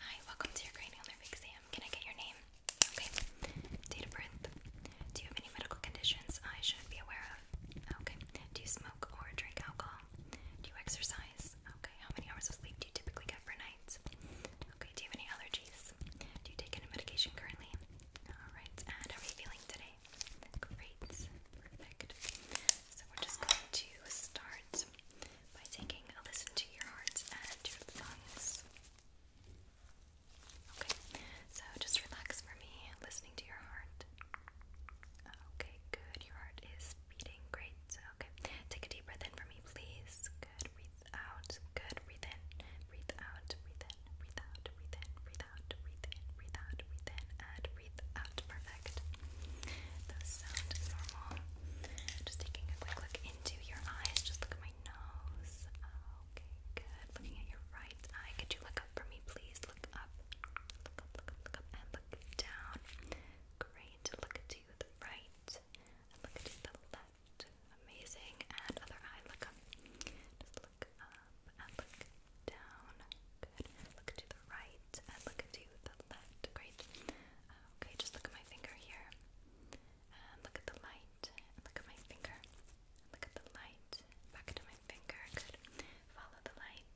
Hi, welcome to your cranial nerve exam. Can I get your name? Okay. Date of birth. Do you have any medical conditions I should be aware of? Okay. Do you smoke or drink alcohol? Do you exercise? Okay. How many hours of sleep do you typically get per night? Okay. Do you have any allergies? Do you take any medication currently? Alright. And how are you feeling today? Great. Perfect. So we're just going to start heart by taking a listen to your heart and your lungs. Okay, so just relax for me, listening to your heart. Okay, good. Your heart is beating great. Okay, take a deep breath in for me, please. Good. Breathe out. Good. Breathe in. Breathe out. Breathe in. Breathe out. Breathe in. Breathe out. Breathe in. Breathe out. Breathe in. And breathe Perfect. Those sound normal. Just taking a quick look into your eyes. Just look at my nose. Okay, good. Looking at your right eye. Could you look up for me, please? Look up. Look up, look up, look up, and look down. Great. Look to the right. look to the left. Amazing. And other eye. Look up. Just look up and look down. Good. Look to the right and look to the left. Great. Uh, okay, just look at my finger here. look at the light. look at my finger. look at the light. Back to my finger. Good. Follow the light.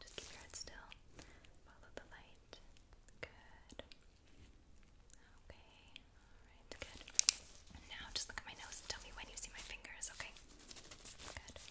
Just keep your head still. Follow the light. Good. Okay. Alright, good. now just look at my nose tell me when you see my fingers, okay? Good.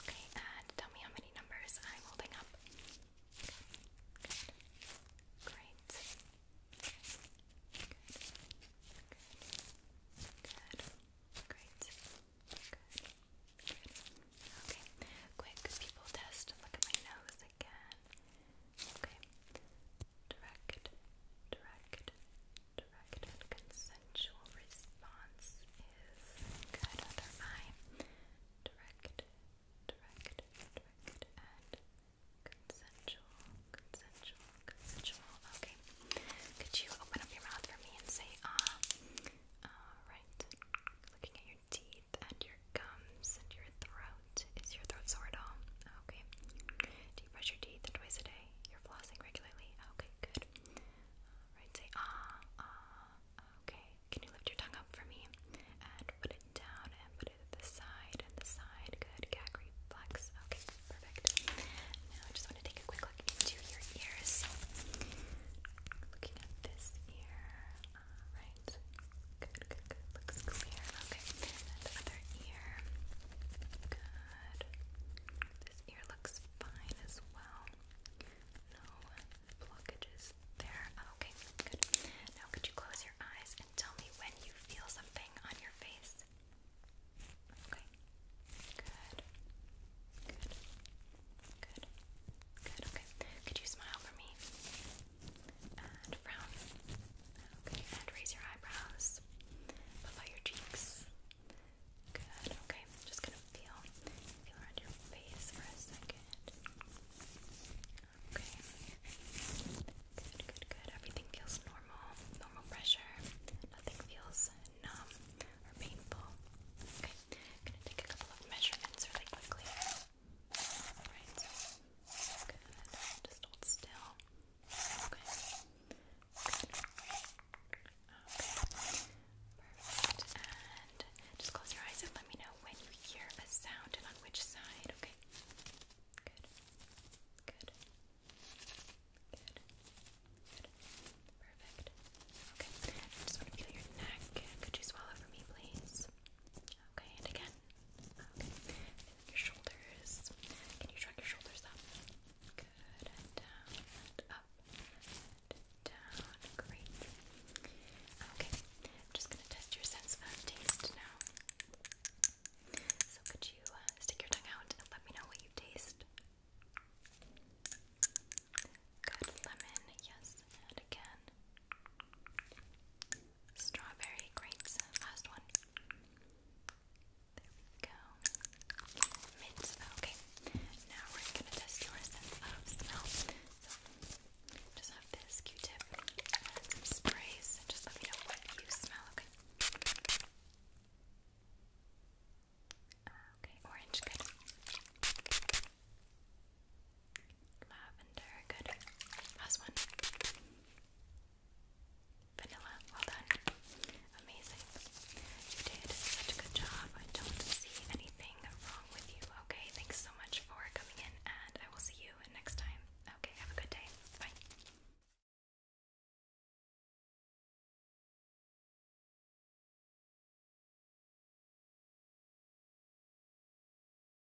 Okay, and tell me how many numbers I'm holding up. Great. Good. Good. Good. Great. Good. Good. Okay. Quick people test. Look at my nose again. Okay. Direct. Direct direct and consensual response is good under eye. Direct, direct, direct, and consensual, consensual, consensual. Okay. Could you open up your mouth for me and say, ah? Uh, ah, Alright. Looking at your teeth and your gums and your throat. Is your throat sore at all? Okay. Do you brush your teeth twice a day? you're flossing regularly. Okay, good. Alright, uh, say ah, ah. Okay, can you lift your tongue up for me? And put it down and put it at the side and the side. Good, gag reflex. Okay, perfect. Now I just want to take a quick look into your ears. Looking at this ear. Alright. Uh, good, good, good. Looks clear. Okay, and the other ear. Good good. This ear looks fine as well. No blockages there. Oh, okay, good. Now, could you close your eyes and tell me when you feel something on your face? Okay, good. Good. Good. Good, okay. Could you smile for me? And frown raise your eyebrows. Puff out your cheeks. Good. Okay, just gonna feel, feel around your face for a second. Okay. Good, good, good. Everything feels normal. Normal pressure. Nothing feels numb or painful. Okay, gonna take a couple of measurements really quickly. Alright. Good. Just hold still. Okay. just close your eyes and let me know when you hear a sound and on which side, okay? Good. Good. Good. Good. Perfect. Okay. I just want to feel your neck. Could you swallow for me, please? Okay, and again your shoulders. Can you shrug your shoulders up? Good. And down up and down. Great. Okay. I'm just gonna test your sense of taste now. So could you uh, stick your tongue out and let me know what you taste? Good lemon, yes, and again strawberry grapes. Last one. There we go. Mint. Okay. Now we're gonna test your sense of smell. just have this Q-tip sprays. Just let me know what you smell. Okay. Orange. Good. Lavender. Good. Last one. Vanilla, well done. Amazing. You did such a good job. I don't see anything wrong with you. Okay, thanks so much for coming in, and I will see you next time. Okay, have a good day. Bye.